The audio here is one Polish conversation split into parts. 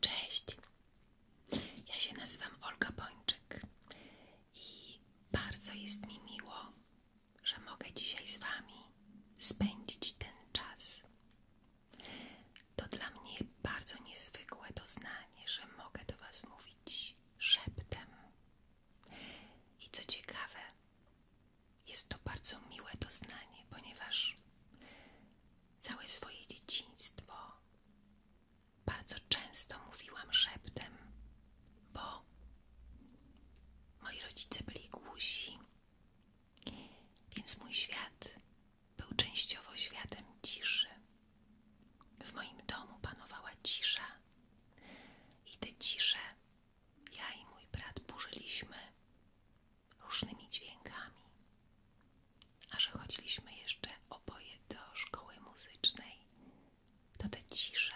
Cześć, ja się nazywam Olga Bończyk i bardzo jest mi miło, że mogę dzisiaj z Wami spędzić ten czas. To dla mnie bardzo niezwykłe doznanie, że mogę do Was mówić szeptem. I co ciekawe, jest to bardzo miłe doznanie, ponieważ Całe swoje dzieciństwo bardzo często mówiłam szeptem, bo moi rodzice byli głusi, więc mój świat był częściowo światem ciszy. W moim domu panowała cisza i tę ciszę ja i mój brat burzyliśmy różnymi dźwiękami, a że chodziliśmy jeszcze oboje do szkoły muzycznej, to te cisze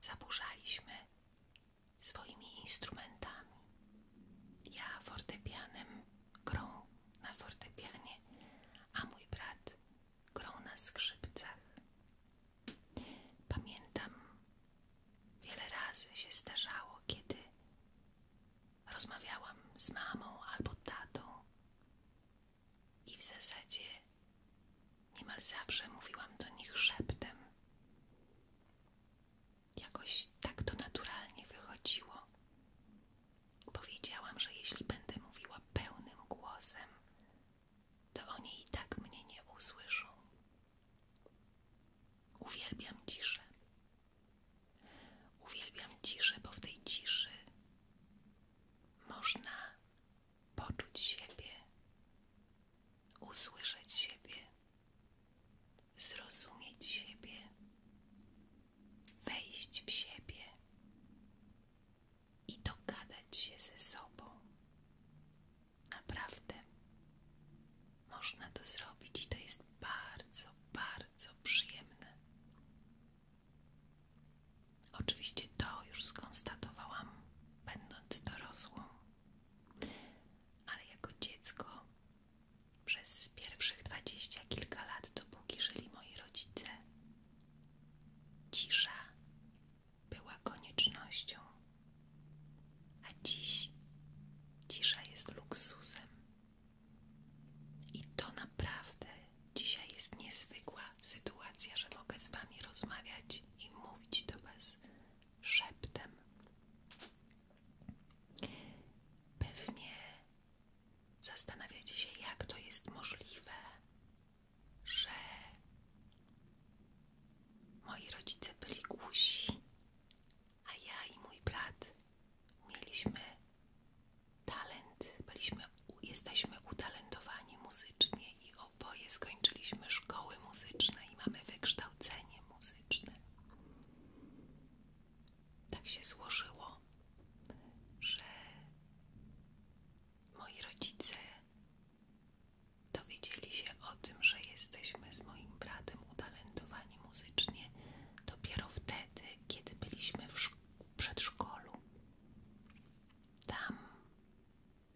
zaburzaliśmy swoimi instrumentami. Ja fortepianem, grą na fortepianie, a mój brat grą na skrzypcach. Pamiętam, wiele razy się zdarzało, kiedy rozmawiałam z mamą albo tatą i w zasadzie niemal zawsze mówiłam do nich szeptem. Jakoś tak to naturalnie wychodziło. Powiedziałam, że jeśli będę mówiła pełnym głosem, to oni i tak mnie nie usłyszą. Uwielbiam ciszę. Uwielbiam ciszę, bo w tej ciszy można poczuć siebie, usłyszeć siebie, zrozumieć siebie, wejść w siebie i dogadać się ze sobą. Naprawdę można to zrobić i to jest bardzo, bardzo przyjemne. Oczywiście to już skonstatowałam, będąc dorosłą, ale jako dziecko przez pierwszych dwadzieścia kilka lat, dopóki żyli moi rodzice, cisza była koniecznością, a dziś cisza jest luksusem. I to naprawdę dzisiaj jest niezwykła sytuacja, że mogę z Wami rozmawiać i mówić do Was szeptem. Pewnie zastanawiacie się, jak to jest możliwe, że moi rodzice byli głusi, a ja i mój brat mieliśmy talent, byliśmy, jesteśmy utalentowani muzycznie i oboje skończyliśmy szkoły muzyczne i mamy wykształcenie muzyczne. Tak się złożyło, że moi rodzice dowiedzieli się o tym, że jesteśmy z moim bratem utalentowani muzycznie dopiero wtedy, kiedy byliśmy w, w przedszkolu. Tam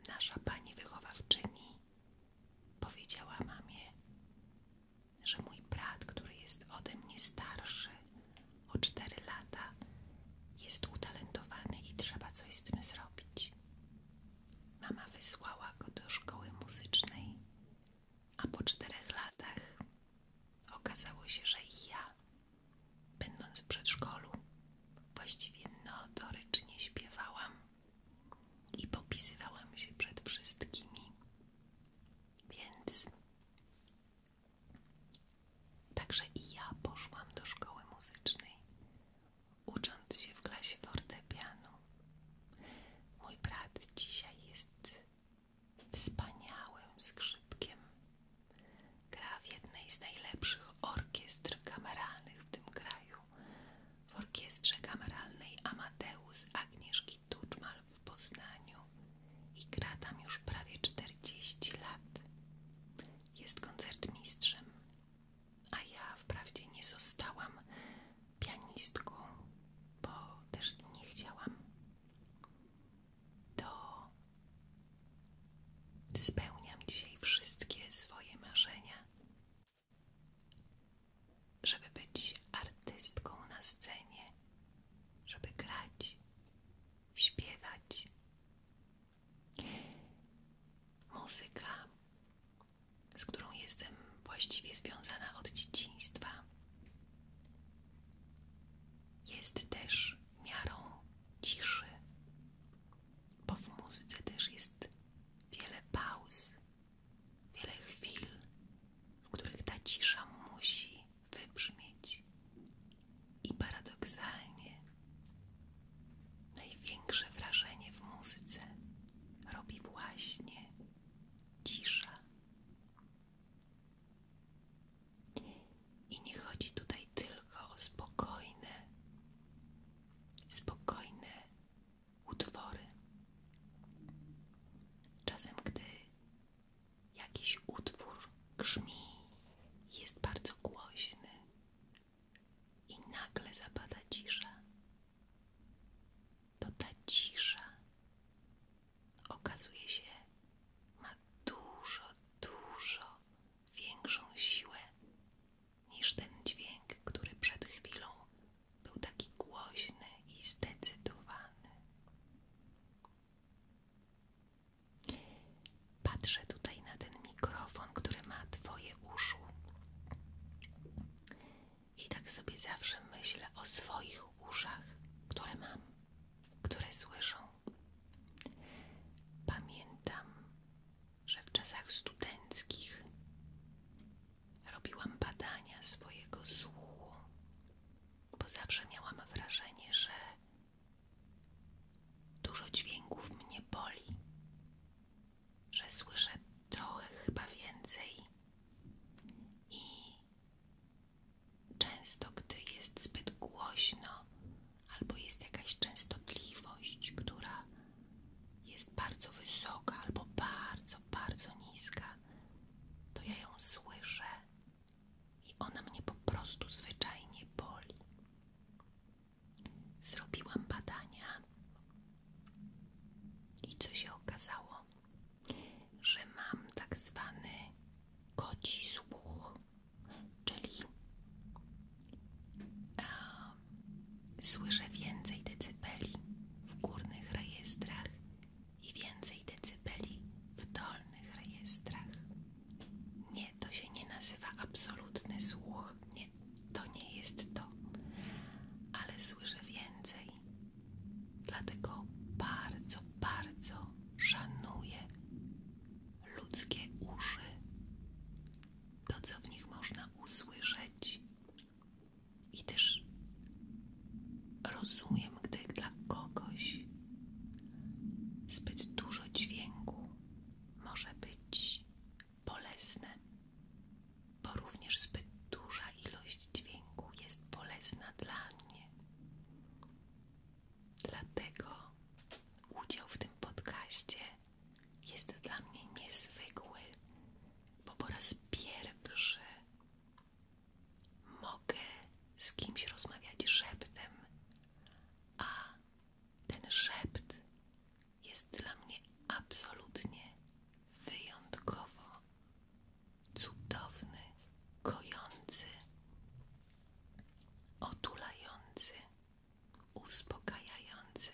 nasza pani wychowawczyni powiedziała mamie, że mój brat, który jest ode mnie starszy o 4 lata, jest utalentowany i trzeba coś z tym zrobić. Mama wysłała go do szkoły muzycznej a po czterech latach okazało się, że i ja, będąc w przedszkolu, właściwie notorycznie śpiewałam i popisywałam się przed wszystkimi. Więc także i ja poszłam do szkoły muzycznej, ucząc się w klasie fortepianu. Mój brat dzisiaj jest wspaniałym skrzypkiem. Gra w jednej z najlepszych orkiestr kameralnych w tym kraju, w orkiestrze kameralnej Amadeus Agnieszki Tuczmal w Poznaniu i gra tam już prawie 40 lat. Jest koncertmistrzem, a ja wprawdzie nie zostałam pianistką, bo też nie chciałam to spełniam dzisiaj wszystkie swoje marzenia, żeby być artystką na scenie, żeby grać, śpiewać. Muzyka, z którą jestem właściwie związana od dzieciństwa, jest też miarą ciszy, bo w muzyce też jest wiele pauz, wiele chwil, w których ta cisza musi wybrzmieć. I paradoksalnie największe wrażenie w muzyce robi właśnie cisza. I nie chodzi tutaj tylko o spokojne, spokojne utwory. Czasem, gdy jakiś utwór grzmi, jest bardzo głośny i nagle zapada cisza, to ta cisza okazuje się, ma dużo, dużo większą siłę niż ten dźwięk, który przed chwilą był taki głośny i zdecydowany. Patrzę tutaj na ten mikrofon, który ma Twoje uszu. I tak sobie zawsze myślę o swoich uszach, które mam, które słyszą. Pamiętam, że w czasach studenckich robiłam badania swojego słuchu, bo zawsze miałam wrażenie, że dużo dźwięków mnie boli, że słyszę trochę chyba więcej i Często, gdy jest zbyt głośno, albo jest jakaś częstotliwość, która jest bardzo wysoka, albo bardzo, bardzo niska, to ja ją słyszę i ona mnie po prostu zwyczajnie boli. Zrobiłam badania i co się okazało? że mam tak zwany koci czyli słyszę więcej decybeli w górnych rejestrach i więcej decybeli w dolnych rejestrach. Nie, to się nie nazywa absolutny słuch, nie, to nie jest to, ale słyszę więcej Dlatego bardzo, bardzo szanuję ludzkie uszy, to co w nich można usłyszeć. I też rozumiem, gdy dla kogoś zbyt dużo dźwięku może być bolesne, bo również zbyt duża ilość dźwięku jest bolesna dla mnie. Dlatego udział w tym podcaście jest dla mnie niezwykły, bo po raz pierwszy mogę z kimś rozmawiać szeptem, a ten szept jest dla mnie absolutnie wyjątkowo cudowny, kojący, otulający, uspokajający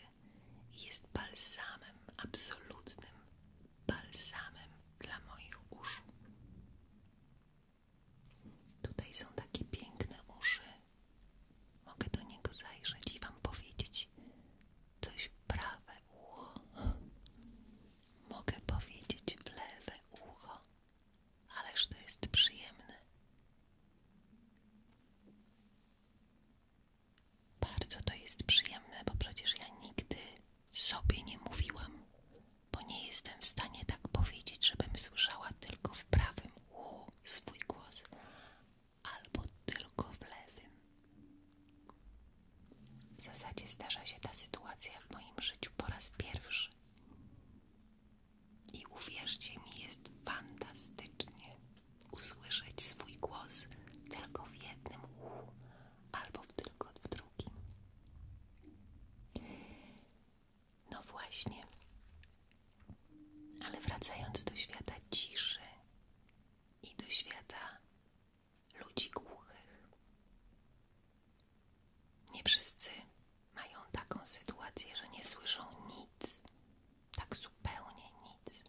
jest balsamem, absolutnym balsamem dla moich uszu. Tutaj są takie piękne uszy. Mogę do niego zajrzeć i Wam powiedzieć coś w prawe ucho. Mogę powiedzieć w lewe ucho, ależ to jest przyjemne. Bardzo to jest przyjemne, bo przecież ja nigdy sobie nie mówiłam, bo nie jestem w stanie tak powiedzieć, żebym słyszała tylko w prawym uchu swój głos albo tylko w lewym. W zasadzie zdarza się ta sytuacja w moim życiu po raz pierwszy. I uwierzcie mi, jest fantastycznie usłyszeć swój głos tylko w jednym uchu albo tylko w drugim. No właśnie, ale wracając do świata ciszy i do świata ludzi głuchych. Nie wszyscy mają taką sytuację, że nie słyszą nic, tak zupełnie nic.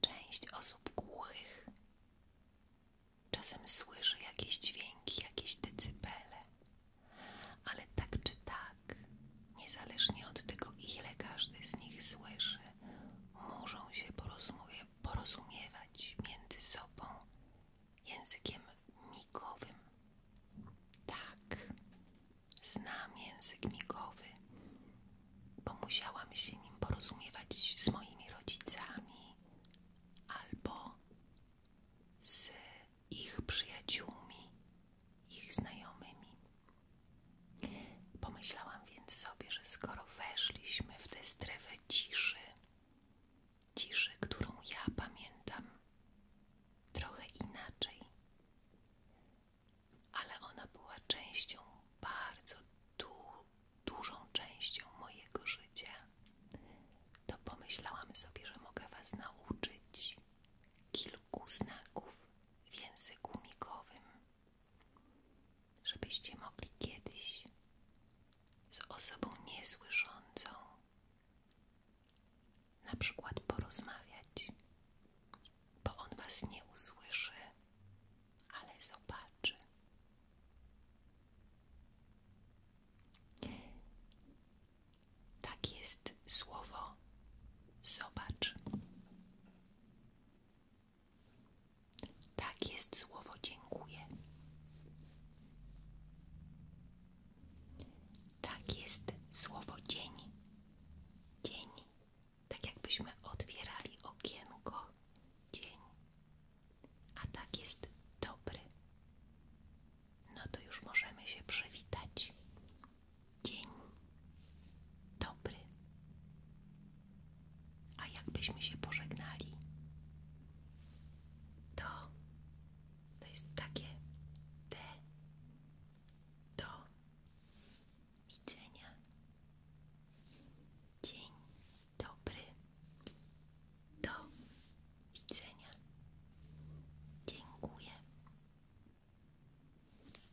Część osób głuchych czasem słyszy jakieś dźwięki, jakieś decybele, ale tak czy tak, niezależnie od tego, ile każdy z nich słyszy, muszą się porozumie, porozumiewać między sobą językiem migowym. Tak, znam język migowy, bo musiałam się nim porozumiewać z moimi rodzicami albo z ich przyjaciółmi, ich znajomymi. Pomyślałam więc sobie, że skoro weszliśmy w tę strefę ciszy, ciszy, którą ja pamiętam trochę inaczej, ale ona była częścią, bardzo dużą częścią mojego życia, to pomyślałam sobie, że mogę Was nauczyć kilku znaków w języku migowym, żebyście mogli kiedyś z osobą niesłyszącą, na przykład porozmawiać, bo on Was nie usłyszy, ale zobaczy. Tak jest słowo zobacz. Tak jest słowo dziękuję. Tak jest słowo dzień. Dzień. Tak jakbyśmy otwierali okienko. Dzień. A tak jest dobry. No to już możemy się przywitać. Dzień dobry. A jakbyśmy się pożegnali, to to jest takie D. Do widzenia. Dzień dobry. Do widzenia. Dziękuję.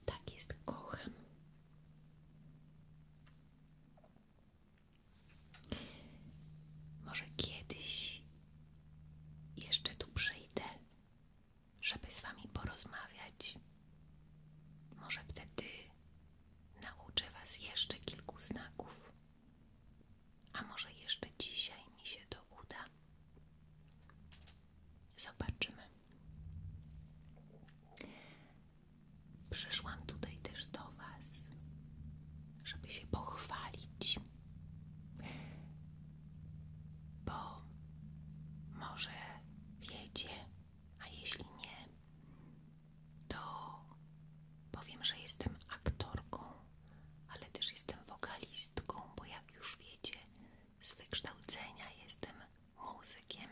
Tak jest, kocham. Może kiedyś jeszcze tu przyjdę, żeby z Wami porozmawiać. Może wtedy nauczę Was jeszcze kilku znaków, a może jeszcze dzisiaj mi się to uda. Zobaczymy. Przyszłam tutaj też do Was, żeby się pochwalić, bo może wiecie, a jeśli nie, to powiem, że jestem aktorką, ale też jestem wokalistką, bo jak już wiecie, z wykształcenia jestem muzykiem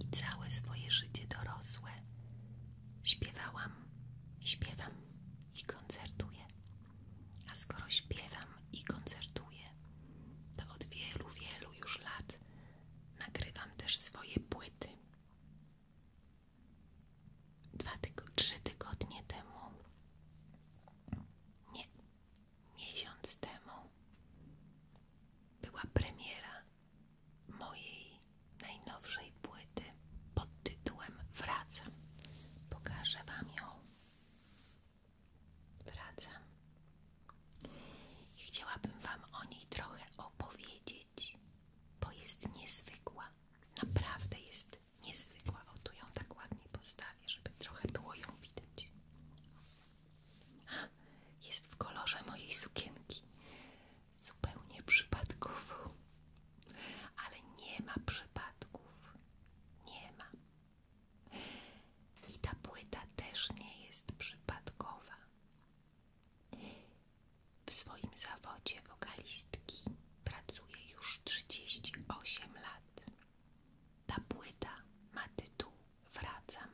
i całe swoje życie dorosłe śpiewałam, śpiewam i koncertuję. A skoro śpiewam i koncertuję, to od wielu, wielu już lat nagrywam też swoje płyty. Dwa tygo trzy tygodnie temu, nie, miesiąc temu była premiera mojej najnowszej płyty pod tytułem Wracam. Pokażę Wam ją. Wracam. chciałabym Wam o niej trochę opowiedzieć, bo jest niezwykła. Naprawdę jest niezwykła. O, tu ją tak ładnie postawię, żeby trochę było ją widać. Jest w kolorze mojej sukienki zupełnie przypadkowo, ale nie ma przypadków, nie ma. I ta płyta też nie jest przypadkowa. W swoim zawodzie wokalistki pracuje już 38 lat. Ta płyta ma tytuł Wracam.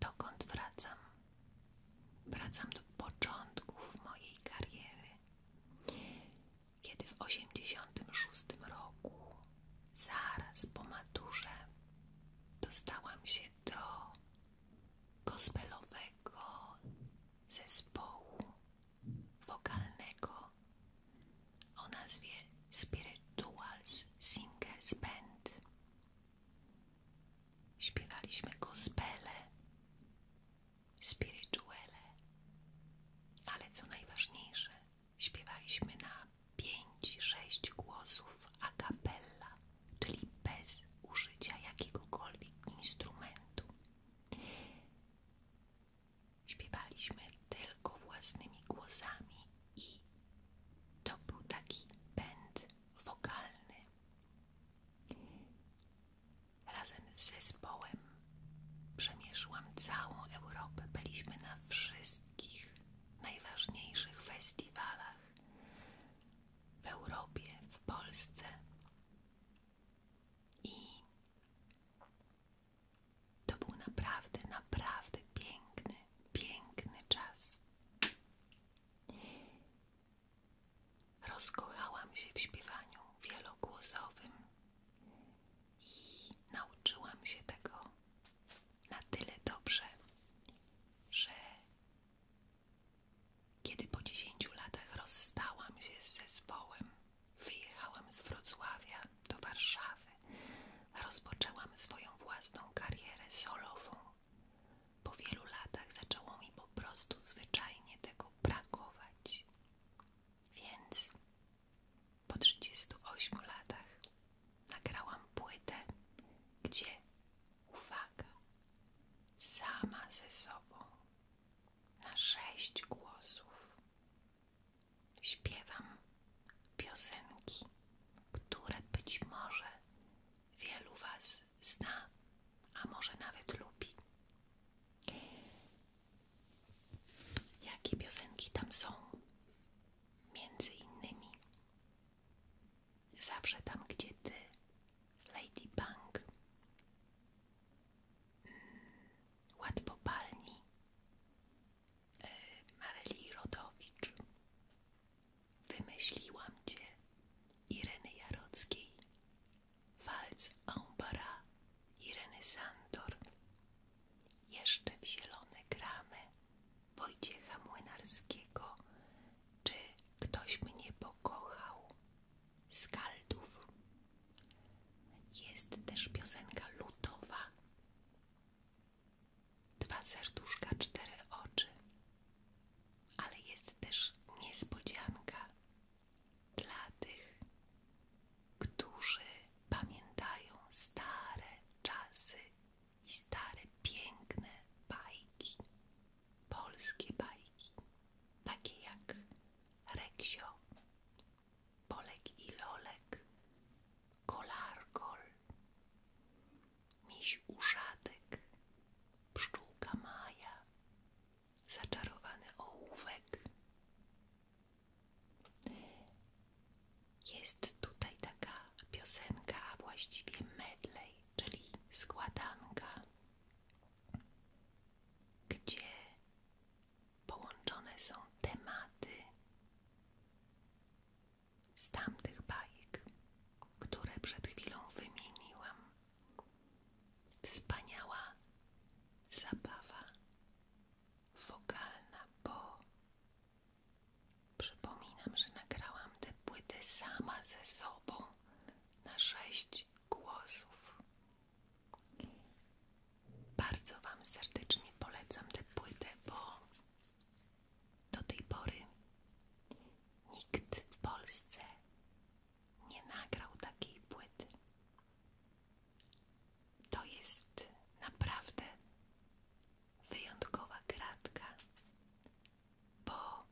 Dokąd wracam? Wracam do początków mojej kariery, kiedy w 86 roku, zaraz po maturze, dostałam się do gospelowego zespołu wokalnego o nazwie Spirituals Singers Band. Śpiewaliśmy gospele, spirituele, ale co najważniejsze, śpiewaliśmy na 5-6 głosów a cappella, czyli bez użycia jakiegokolwiek instrumentu. Śpiewaliśmy tylko własnymi głosami i to był taki pęd wokalny. Razem z zespołem przemierzyłam całą Europę. Byliśmy na wszystkich najważniejszych festiwalach w Europie, w Polsce. I to był naprawdę, naprawdę piękny, piękny czas. Rozkochałam się w śpiewaniu wielogłosowym i nauczyłam się tego na tyle dobrze, że kiedy po 10 latach rozstałam się z zespołem, wyjechałam z Wrocławia do Warszawy, rozpoczęłam swoją własną karierę solową po wielu latach zaczęło mi po prostu zwyczajnie tego brakować. Więc po 38 latach nagrałam płytę, gdzie uwaga, sama ze sobą na sześć głosów śpiewam piosenki, które być może Wielu Was zna, a może nawet lubi. Jakie piosenki tam są? Między innymi Zawsze tam, gdzie Ty, Ladybug, Bang, hmm, Łatwo y, Mareli Rodowicz, Wymyśliłam cię, Ireny Jarockiej, Walc Ambara, Ireny Santor, jeszcze w zielone gramy Wojciecha Młynarskiego, czy ktoś mnie pokochał, Skaldów. Jest też piosenka lutowa. Dwa serduszka, cztery oczy, ale jest też niespodzianka dla tych, którzy pamiętają stare czasy i stare piękne bajki, polskie bajki, takie jak Reksio, Polek i Lolek, Kolar Kolargol, miś uszatek, pszczółka Maja, zaczarowany ołówek. Jest tutaj taka piosenka, a właściwie medley, czyli składanka, gdzie połączone są tematy z tamtych bajek które przed chwilą wymieniłam. Wspaniała zabawa wokalna, bo przypominam, że nagrałam te płyty sama ze sobą na sześć głosów. Bardzo Wam serdecznie polecam tę płytę, bo do tej pory nikt w Polsce nie nagrał takiej płyty. To jest naprawdę wyjątkowa kratka, bo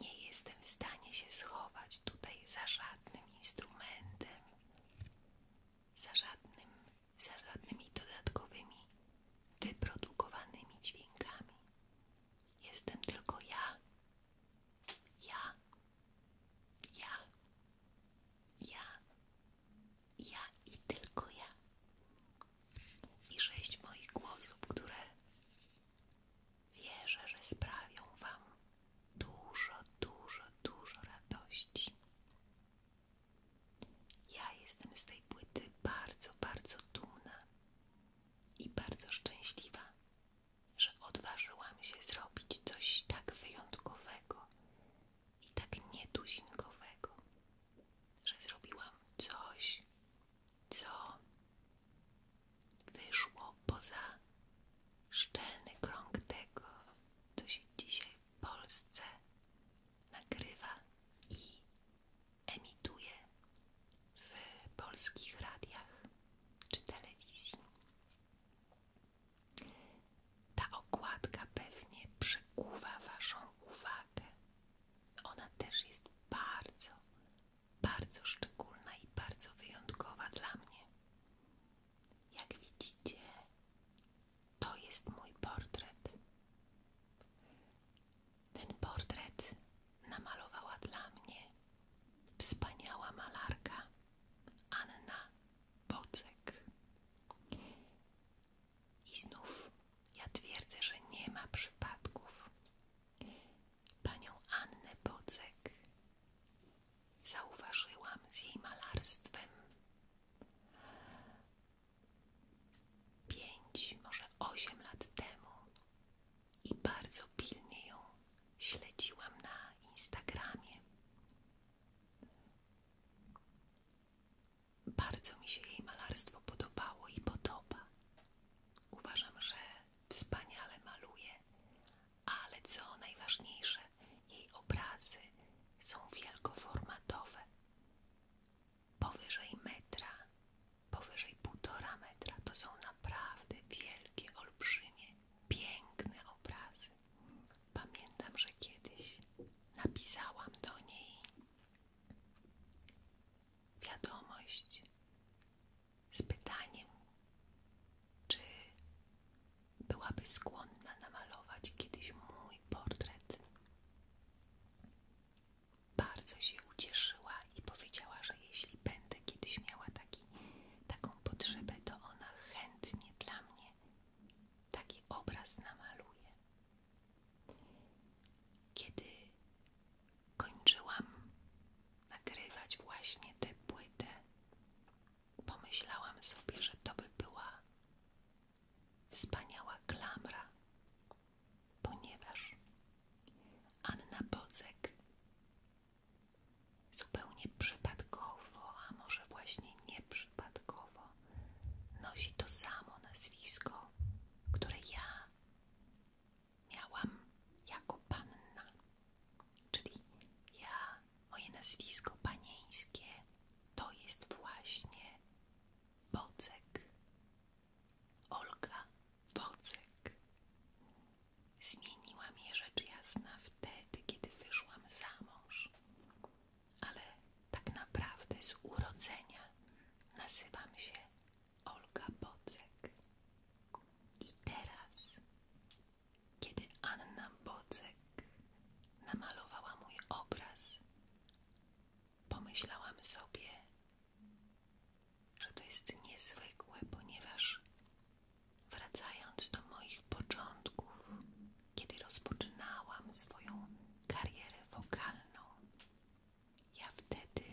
nie jestem w stanie się schować tutaj za żadnym instrumentem, za, żadnym, za żadnymi dodatkowymi wyprodukowanymi dźwiękami. Jestem tylko ja. Ja. Ja. Ja. Ja i tylko ja. I sześć moich głosów, które wierzę, że sprawią Wam dużo, dużo, dużo radości. Ja jestem z tej płyty bardzo, bardzo dumna i bardzo szczęśliwa, że odważyłam się zrobić coś tak wyjątkowego i tak nietuzinkowego, że zrobiłam coś, co wyszło poza szczelny krąg tego, co się dzisiaj w Polsce nagrywa i emituje w polskich radiach czy telewizji. Ta okładka pewnie przykuwa Waszą uwagę. Ona też jest bardzo, bardzo szczególna i bardzo wyjątkowa dla mnie. Jak widzicie, to jest mój portret. Ten portret namalowała dla mnie wspaniała malarka Anna Bocek. I znów ja twierdzę, że nie ma przypadków. Panią Annę Bocek zauważyłam z jej malarstwem pięć, może osiem lat temu i bardzo pilnie ją śledziłam na Instagramie. Bardzo mi się jej malarstwo podobało i podoba. Uważam, że wspaniale maluje, ale co najważniejsze, jej obrazy są wielkoformatowe powyżej metra, powyżej półtora metra. To są naprawdę wielkie, olbrzymie, piękne obrazy. Pamiętam, że kiedyś napisałam do niej wiadomość z pytaniem, czy byłaby skłonna namalować kiedyś mój portret bardzo się ucieszyła i powiedziała, że jeśli będę kiedyś miała taką potrzebę, to ona chętnie dla mnie taki obraz namaluje. Kiedy kończyłam nagrywać właśnie tę płytę, pomyślałam sobie, że to by była wspaniała klamra ponieważ Anna Bocek zupełnie przypadkowo, a może właśnie nieprzypadkowo, nosi to samo nazwisko, które ja miałam jako panna. Czyli ja, moje nazwisko panieńskie to jest właśnie Bocek. Olga Bocyk. Zmieniła mnie rzecz jasna wtedy, kiedy wyszłam za mąż, ale tak naprawdę z urodzenia nazywam się Olga Bocyk. I teraz, kiedy Anna Bocyk namalowała mój obraz, pomyślałam sobie, że to jest niezwykłe, ponieważ wracając do moich początków, kiedy rozpoczynałam swoją karierę wokalną, ja wtedy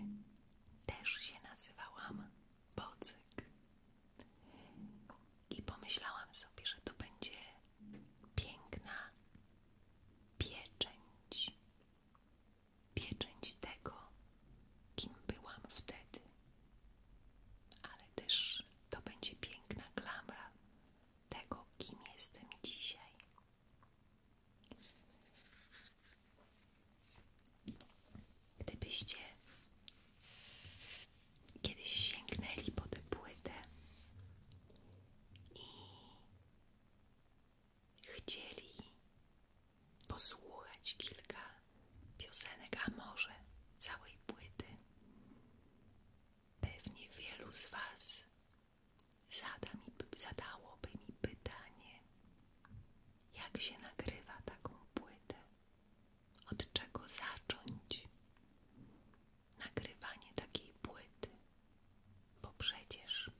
też się nazywałam Bocyk i pomyślałam sobie, że to będzie piękna pieczęć pieczęć tego, kim byłam wtedy. Ale też to będzie piękna klamra tego, kim jestem dzisiaj. Gdybyście kiedyś sięgnęli po tę płytę i chcieli posłuchać kilka piosenek, a może całej płyty. Pewnie wielu z Was zadałoby mi pytanie, jak się nagrywa taką płytę, od czego zacząć nagrywanie takiej płyty, bo przecież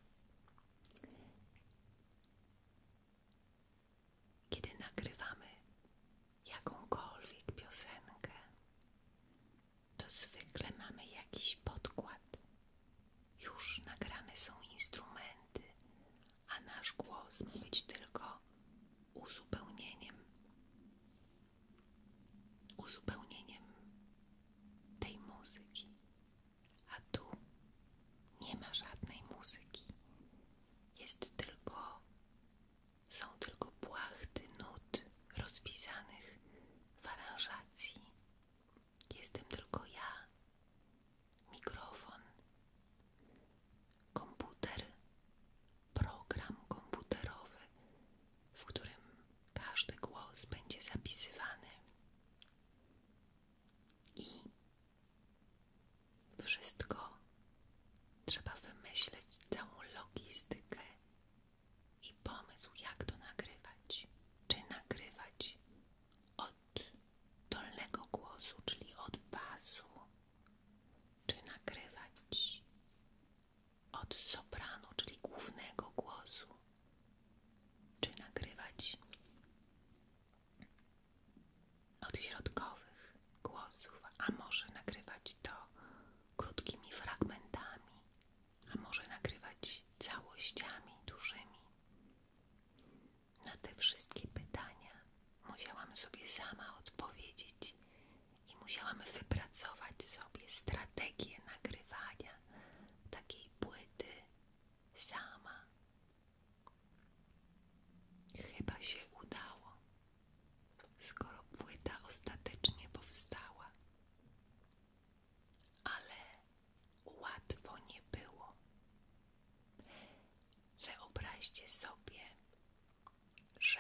kiedy nagrywamy jakąkolwiek piosenkę, to zwykle mamy jakiś podkład. Już nagrane są instrumenty, a nasz głos ma być tylko uzupełnieniem. Uzupełnieniem tej muzyki a tu nie ma żadnej muzyki. Jest tylko, są tylko płachty nut rozpisanych w aranżacji. Jestem tylko ja, mikrofon, komputer, program komputerowy, w którym każdy głos będzie zapisywany. I wszystko trzeba wymyśleć, całą logistykę i pomysł, jak to nagrywać. Czy nagrywać od dolnego głosu, czyli od basu, czy nagrywać od sopranu, czyli głównego głosu, czy nagrywać od środkowych głosów, a może nagrywać to krótkimi fragmentami, a może nagrywać całościami dużymi. Na te wszystkie pytania musiałam sobie sama odpowiedzieć i musiałam wypracować sobie strategię nagrywania takiej płyty sama. Chyba się udało, skoro płyta ostatecznie powstała. Ale łatwo nie było. Wyobraźcie sobie, że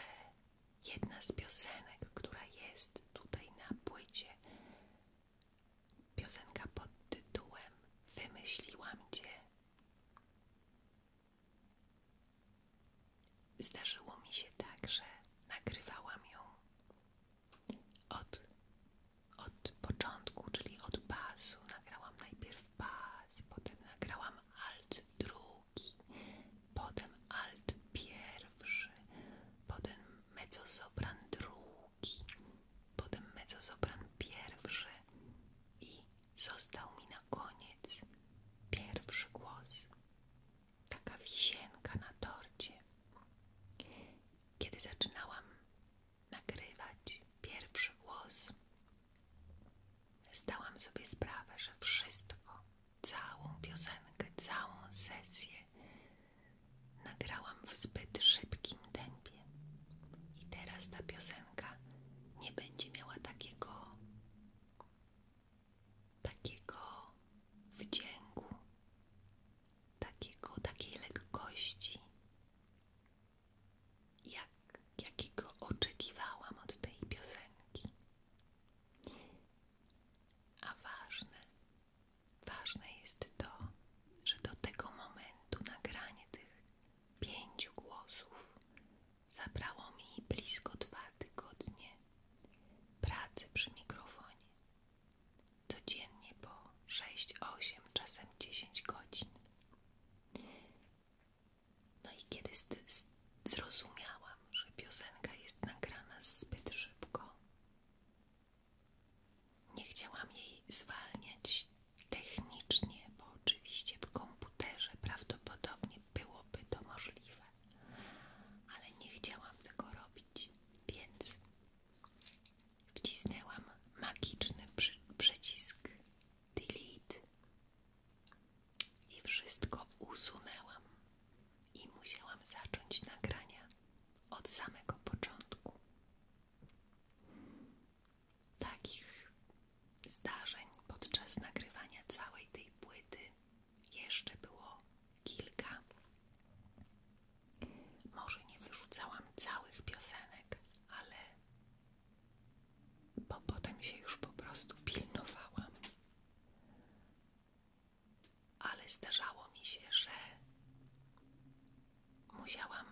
jedna z piosenek, która jest tutaj na płycie, Piosenka pod tytułem Wymyśliłam Cię. Zdarzyło mi się tak, że nagrywałam ją od, od początku, czyli od basu. Nagrałam najpierw bas, potem nagrałam alt drugi, potem alt pierwszy, potem mezzosopran drugi, potem mezzosopran pierwszy i został mi na koniec pierwszy głos. Taka wisienka na torcie. Kiedy zaczynałam nagrywać pierwszy głos, zdałam sobie sprawę, że wszystko, całą piosenkę, całą sesję Nagrałam w zbyt szybkim tempie i teraz ta piosenka nie będzie miała takiego takiego wdzięku, takiego, takiej lekkości, jak, jakiego oczekiwałam od tej piosenki. A ważne, Ważne jest to, że do tego momentu nagranie tych pięciu głosów zabrało mi blisko dwa tygodnie pracy przy mikrofonie. Codziennie po sześć, osiem czasem dziesięć godzin. No i kiedy zrozumiałam, że piosenka jest nagrana zbyt szybko, nie chciałam jej zwalniać technicznie, bo oczywiście w komputerze prawdopodobnie byłoby to możliwe, ale nie chciałam tego robić, więc wcisnęłam magiczny przycisk delete i wszystko usunęłam i musiałam zacząć nagrania od samego początku. Takich zdarzeń podczas nagrywania całej tej płyty jeszcze było kilka. Może nie wyrzucałam całych piosenek, ale bo potem się już po prostu pilnowałam ale zdarzało mi się, że musiałam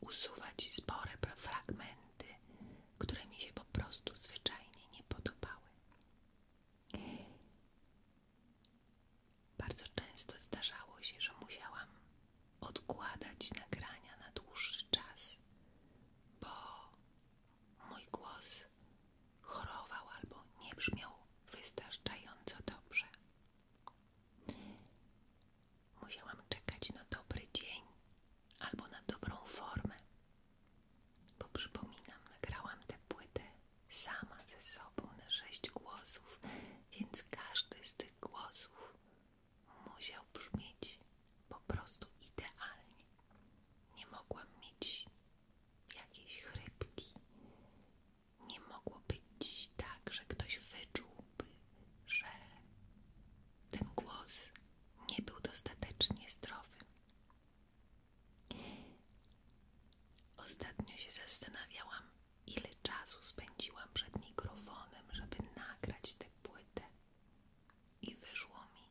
usuwać spore fragmenty, które mi się po prostu zwyczajnie nie podobały. Bardzo często zdarzało się, że musiałam odkładać nagrania na dłuższy czas, bo mój głos chorował albo nie brzmiał wystarczająco dobrze. Musiałam czekać na dobry dzień albo na dobrą formę, bo przypominam, nagrałam tę płytę sama ze sobą na sześć głosów, więc każdy z tych głosów musiał brzmieć po prostu idealnie. Nie mogłam mieć jakiejś chrypki, nie mogło być tak, że ktoś wyczułby, że ten głos nie był dostatecznie zdrowy. Ostatnio się zastanawiałam, ile czasu spędziłam przed mikrofonem, żeby nagrać tę płytę, i wyszło mi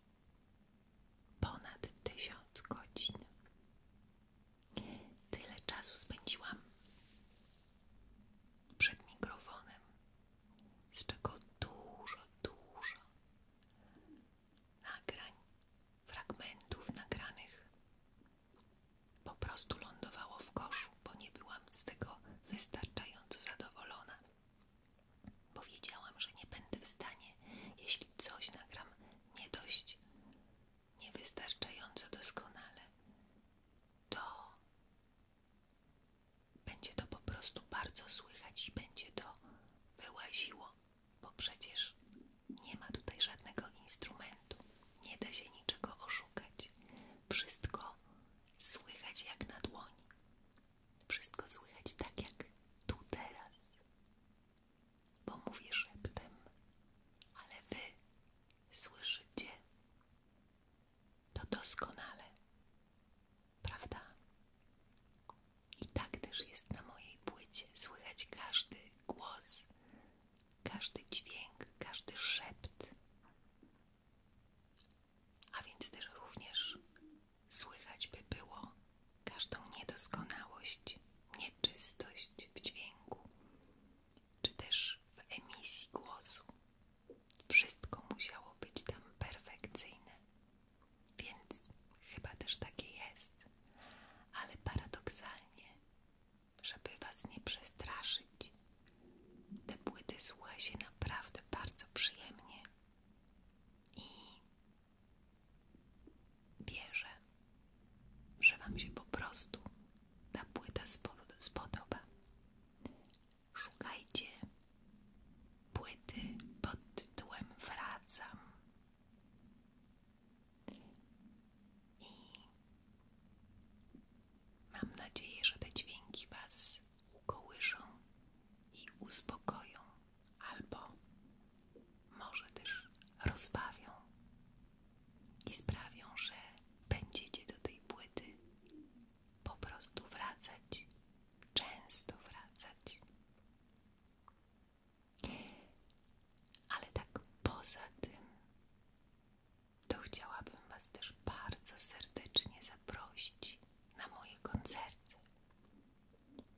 ponad tysiąc godzin. Tyle czasu spędziłam przed mikrofonem, z czego dużo, dużo nagrań, fragmentów nagranych po prostu lądowało w koszu, bo nie byłam z tego wystarczająco zadowolona. Powiedziałam, że nie będę w stanie, jeśli coś nagram nie dość niewystarczająco doskonale, to będzie to po prostu bardzo słychać i będzie to wyłaziło, bo przecież nie ma tutaj żadnego instrumentu, nie da się niczego oszukać. Wszystko słychać jak na dłoń, Wszystko słychać tak jak tu teraz bo mówię szeptem, ale wy słyszycie to doskonale, prawda? I tak też jest na mojej płycie, słychać każdy głos, każdy dźwięk, każdy szept. A więc też również słychać by było każdą niedoskonałość, nieczystość w dźwięku, czy też w emisji głosu. Wszystko musiało być tam perfekcyjne, więc chyba też takie jest, ale paradoksalnie, żeby Was nie przestraszyć, te płyty słucha się naprawdę bardzo przyjemnie i wierzę, że Wam się po prostu ta płyta spodoba. Szukajcie płyty pod tytułem Wracam. I mam nadzieję, że te dźwięki Was ukołyszą i uspokoją, albo może też rozbawią i sprawią, że będziecie do tej płyty po prostu wracać, często wracać. Ale tak poza tym, to chciałabym Was też bardzo serdecznie zaprosić na moje koncerty,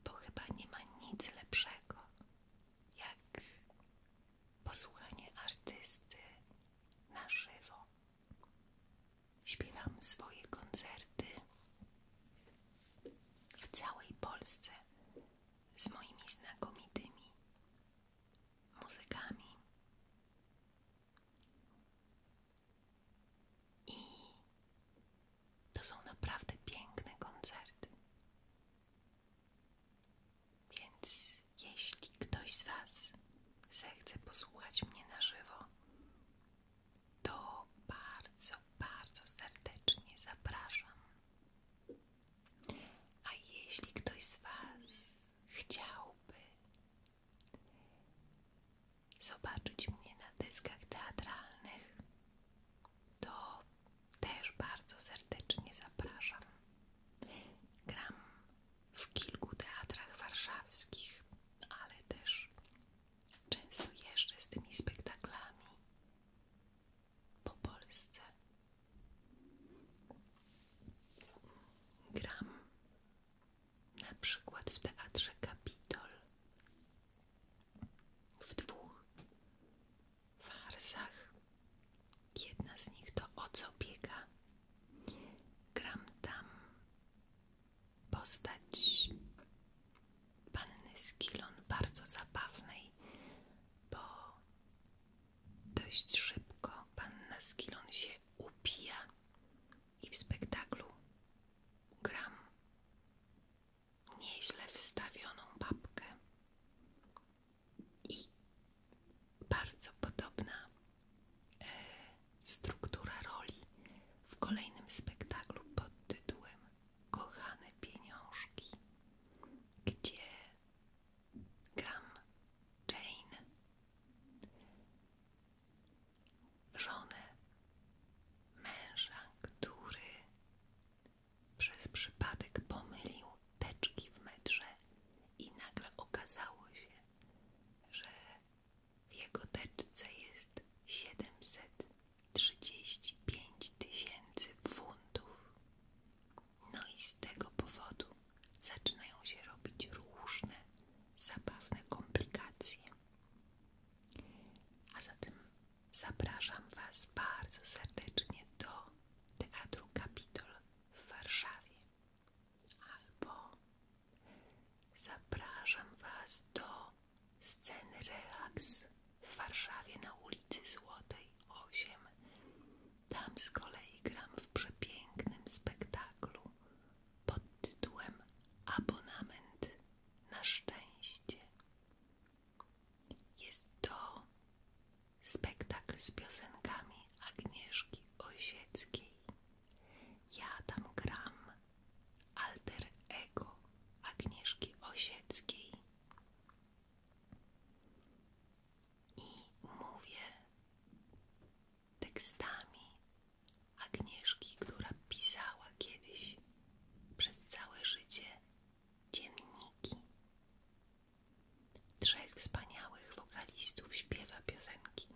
bo chyba nie ma nic lepszego jak posłuchanie artysty na żywo. Śpiewam swoje koncerty w całej Polsce z moimi znakomitymi muzykami. I to są naprawdę piękne koncerty. Więc jeśli ktoś z Was zechce posłuchać mnie na żywo, to bardzo, bardzo serdecznie zapraszam. A jeśli ktoś z Was chciałby zobaczyć mnie na dyskach teatralnych, to też bardzo serdecznie zapraszam. Gram w kilku teatrach warszawskich, ale też często jeszcze z tymi spektaklami po Polsce. Gram na przykład w teatrze Kapitol w dwóch farsach. Jedna z nich to O co biega. Gram tam postać panny Skilon, bardzo zabawnej, bo dość szybko panna Skilon się upija i w spektaklu gram nieźle wstawioną babkę i bardzo podobna e, struktura roli w kolejnym spektaklu pod tytułem Kochane pieniążki, gdzie gram Jane, żonę męża, który przez przypadek pomylił teczki w metrze i nagle okazało się, że w jego teczce jest 735 tysięcy funtów. No i z tego powodu zaczynają się robić różne zabawne komplikacje. A zatem zapraszam Was bardzo serdecznie do Teatru Kapitol w Warszawie. Albo zapraszam Was do sceny relaks w Warszawie na ulicy Złotej 8. Tam z kolei gram w przepięknym spektaklu pod tytułem Abonament na szczęście. Jest to spektakl z piosenkami Agnieszki Osieckiej. Ja tam gram alter ego Agnieszki Osieckiej i mówię tekstami Agnieszki, która pisała kiedyś przez całe życie dzienniki Trzech wspaniałych wokalistów śpiewa piosenki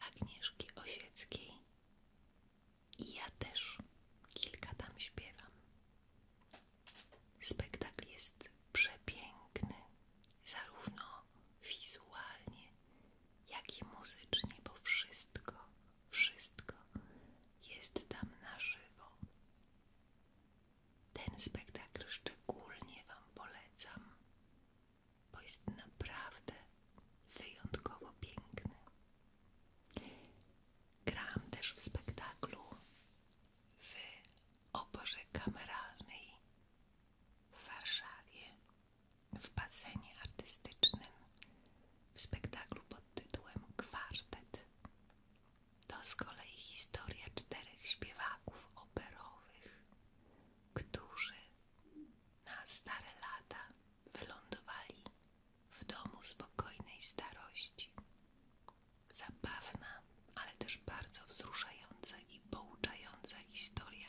Agnieszki Osieckiej i ja też kilka tam śpiewam. Spektakl jest przepiękny, zarówno wizualnie, jak i muzycznie, bo wszystko, wszystko jest tam na żywo. Ten spektakl szczególnie Wam polecam, bo jest naprawdę wyjątkowo piękny. Grałam też w spektaklu w oborze kameralnej w Warszawie, w basenie artystycznym, w spektaklu pod tytułem Kwartet. To z kolei historia czterech śpiewaków operowych, którzy na stare lata wylądowali w domu spokojnej starości. Zabawna, ale też bardzo wzruszająca i pouczająca historia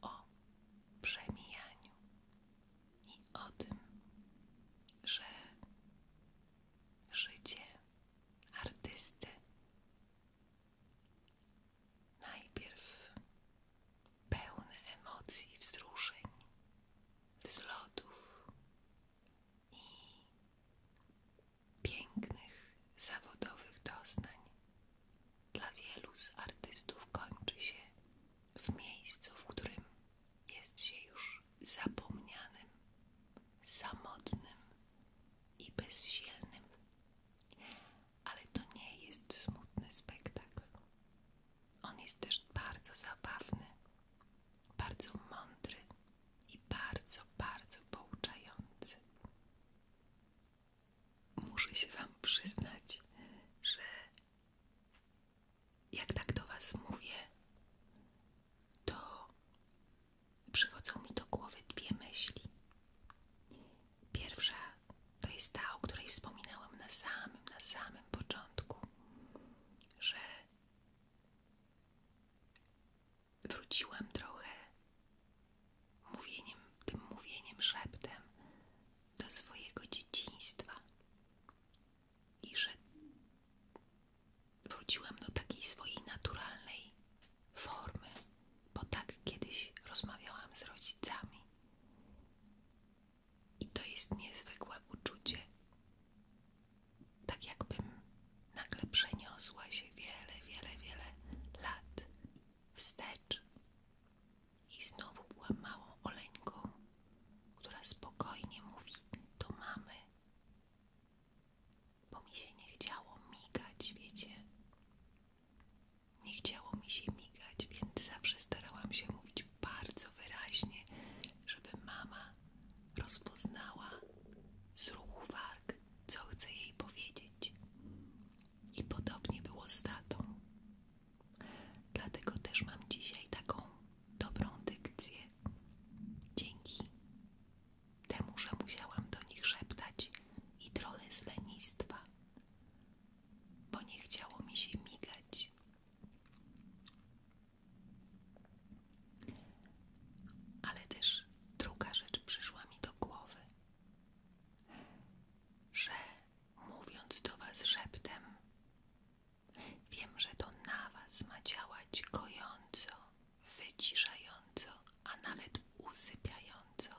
o przemijaniu i o tym, że życie artysty. Najpierw pełne emocji, wzruszeń, wzlotów i pięknych, zawodowych doznań. Dla wielu z artystów kończy się w miejscu, w którym jest się już zapomnianym, samotnym, i bezsilnym. Ale to nie jest smutny spektakl. On jest też bardzo zabawny, bardzo mądry i bardzo, bardzo pouczający. Muszę się Wam przyznać, że jak tak do Was mówię, to przychodzą mi do głowy dwie myśli. Pierwsza to jest ta, o której wspominałem na samym, na samym początku, że wróciłam trochę mówieniem, tym mówieniem szeptem do swojego dzieciństwa i że Wróciłam do takiej swojej naturalnej formy, bo tak kiedyś rozmawiałam z rodzicami. I to jest niezwykłe uczucie. Tak jakbym nagle przeniosła się wiele, wiele, wiele lat wstecz i znowu była małą oleńką, która spokojnie mówi do mamy bo mi się nie chciało migać, wiecie. Nie chciało mi się migać, więc zawsze starałam się mówić bardzo wyraźnie, żeby mama rozpoznała z ruchu warg, co chce jej powiedzieć. I podobnie było z tatą. Dlatego też mam dzisiaj taką dobrą dykcję. Dzięki temu, że musiałam do nich szeptać i trochę z lenistwa, bo nie chciało mi się migać. Ale też druga rzecz przyszła mi do głowy, że mówiąc do Was szeptem, wiem, że to na Was ma działać kojąco wyciszająco, a nawet usypiająco.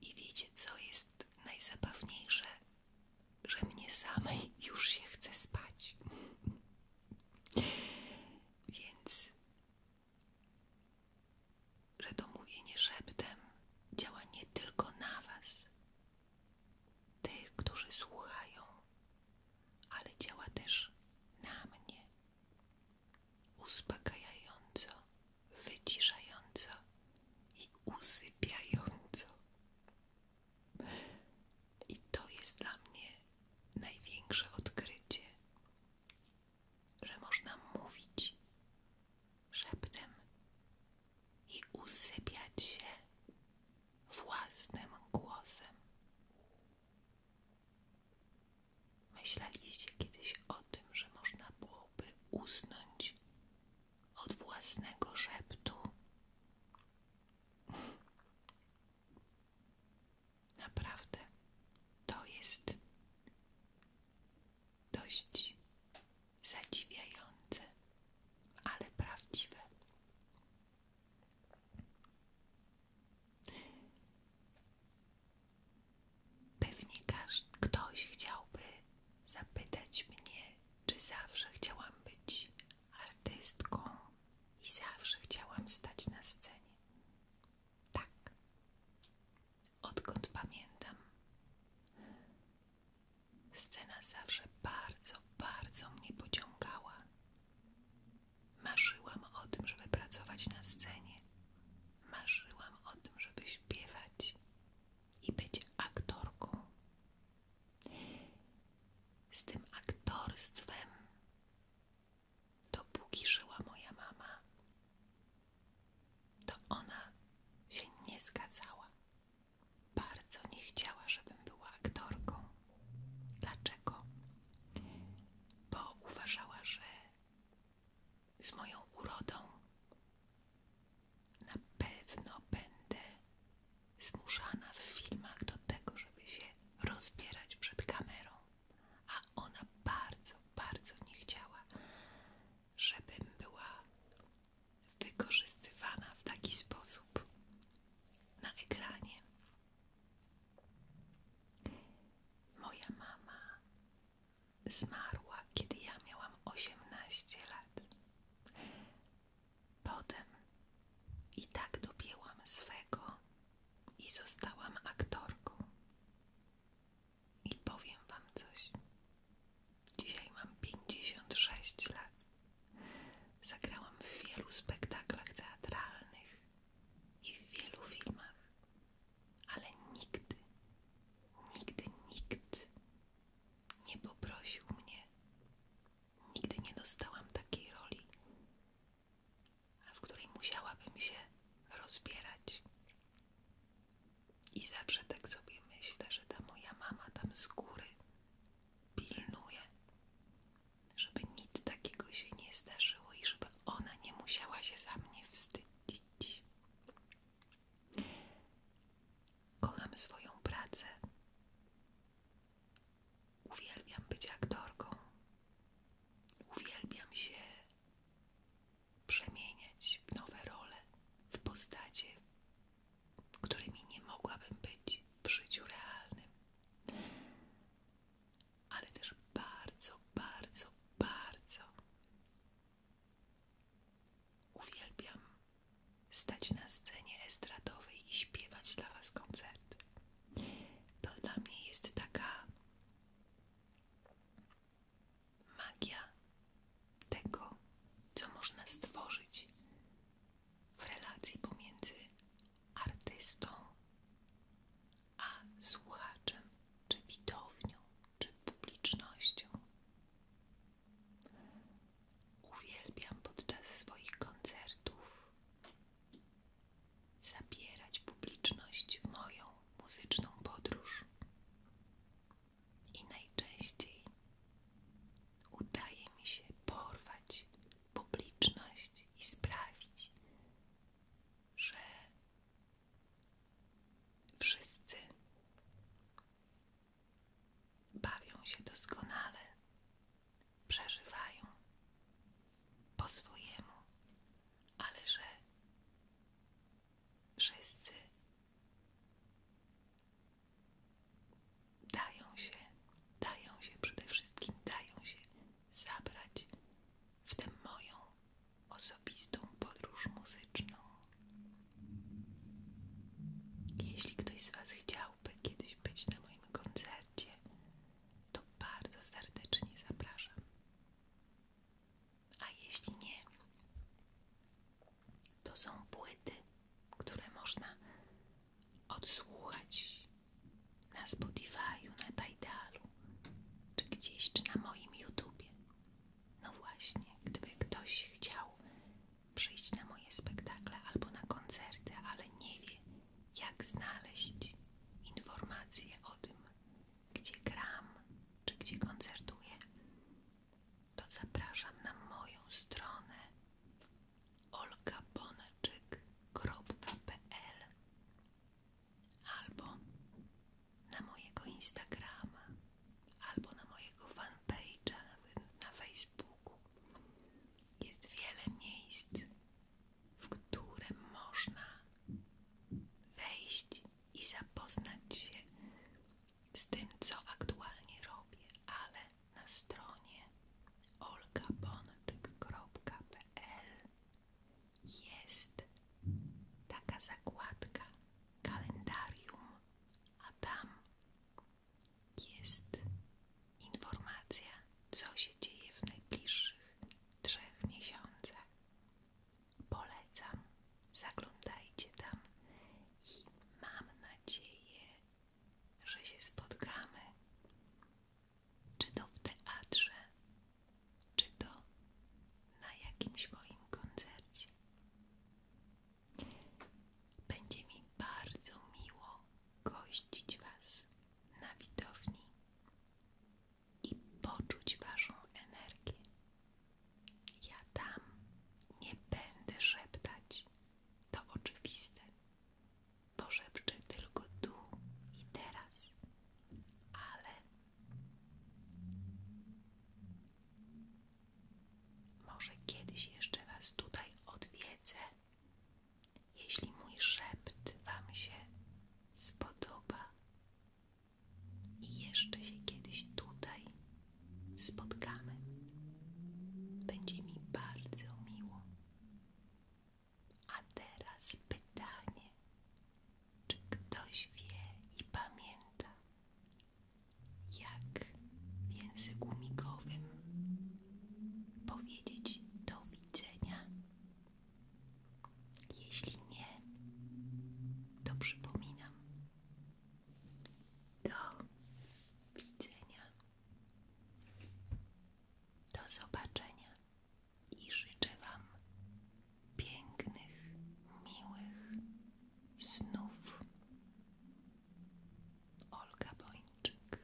I wiecie, co jest najzabawniejsze? Że mnie samej już się chce spać. Więc, że to mówienie szeptem działa nie tylko na Was, tych, którzy słuchają, ale działa też na mnie uspokajająco, wyciszająco i usypiająco. I to jest dla mnie największe odkrycie, że można mówić szeptem i usypiać się własnym głosem. Myśleliście kiedyś o tym, że można byłoby usnąć od własnego szeptu? Naprawdę, to jest dość zadziwiające, ale prawdziwe. Pewnie każdy, ktoś chciałby zapytać mnie, czy zawsze chciałam być artystką i zawsze chciałam stać na scenie. Tak, odkąd pamiętam, scena zawsze bardzo, bardzo mnie pociągała. Marzyłam o tym, żeby pracować na scenie. Marzyłam o tym, żeby śpiewać i być aktorką. Z tym aktorstwem, dopóki żyła moja mama, to ona się nie zgadzała. Bardzo nie chciała, żebym była aktorką. Dlaczego? Bo uważała, że z moją urodą na pewno będę zmuszana w filmach do tego, żeby się rozbierać przed kamerą. A ona bardzo, bardzo nie chciała, żebym była wykorzystywana w taki sposób na ekranie. Moja mama zmarła, kiedy ja miałam 18 lat. Potem i tak dobiłam swego i zostałam aktorką. I powiem wam coś. Dzisiaj mam 56 lat. Zagrałam w wielu spektaklach teatralnych, i w wielu filmach, ale nigdy, nigdy nikt nie poprosił mnie, nigdy nie dostałam takiej roli, w której musiałabym się rozbierać. I zawsze tak sobie myślę, że ta moja mama tam z góry pilnuje, żeby nic takiego się nie zdarzyło i żeby ona nie musiała się za mnie wstydzić. Kocham swoją pracę. Uwielbiam być aktorką. Uwielbiam się przemieniać w nowe role, w postacie, którymi nie mogłabym być w życiu realnym ale też bardzo, bardzo, bardzo uwielbiam stać na scenie estradowej i śpiewać dla Was koncerty. To dla mnie jest taka magia tego, co można stworzyć w relacji pomiędzy artystą a słuchaczem, czy widownią, czy publicznością. Uwielbiam podczas swoich koncertów zabierać publiczność w moją muzyczną podróż. I najczęściej udaje mi się porwać publiczność i sprawić, że wszyscy bawią się doskonale, przeżywają po swojemu, ale że wszyscy dają się, dają się przede wszystkim, dają się zabrać w tę moją osobistą podróż muzyczną. Jeśli ktoś z Was chciałby kiedyś być na moim koncercie, to bardzo serdecznie zapraszam. A jeśli nie, to są płyty, które można odsłuchać na Spotify'u, na Tidalu, czy gdzieś, czy na moim YouTubie. No właśnie, gdyby ktoś chciał przyjść na moje spektakle albo na koncerty, ale nie wie, jak znaleźć informacje o tym, gdzie gram, czy gdzie koncertuję, to zapraszam na moją stronę olgabonaczyk.pl albo na mojego Instagrama, albo na mojego fanpage'a na Facebooku. Jest wiele miejsc, w które można wejść i zapoznać się z tym, co aktualnie robię, ale na stronie olgabonczyk.pl jest taka zakładka kalendarium, a tam jest informacja, co się dzieje w najbliższych trzech miesiącach. Polecam, zaglądajcie tam i mam nadzieję, że się spotkamy czy to w teatrze, czy to na jakimś moim koncercie. Będzie mi bardzo miło gościć Was na widowni i poczuć Waszą energię. Ja tam nie będę szeptać, to oczywiste poszepczę tylko tu i teraz, ale może kiedyś jeszcze Was tutaj odwiedzę, jeśli mój szept Wam się spodoba i jeszcze się kiedyś tutaj spotkamy. Będzie mi bardzo miło. A teraz pytanie: czy ktoś wie i pamięta, jak w języku migowym powiedzieć do widzenia? Jeśli nie, to przypominam. Do widzenia. Do zobaczenia i życzę Wam pięknych, miłych snów. Olga Bończyk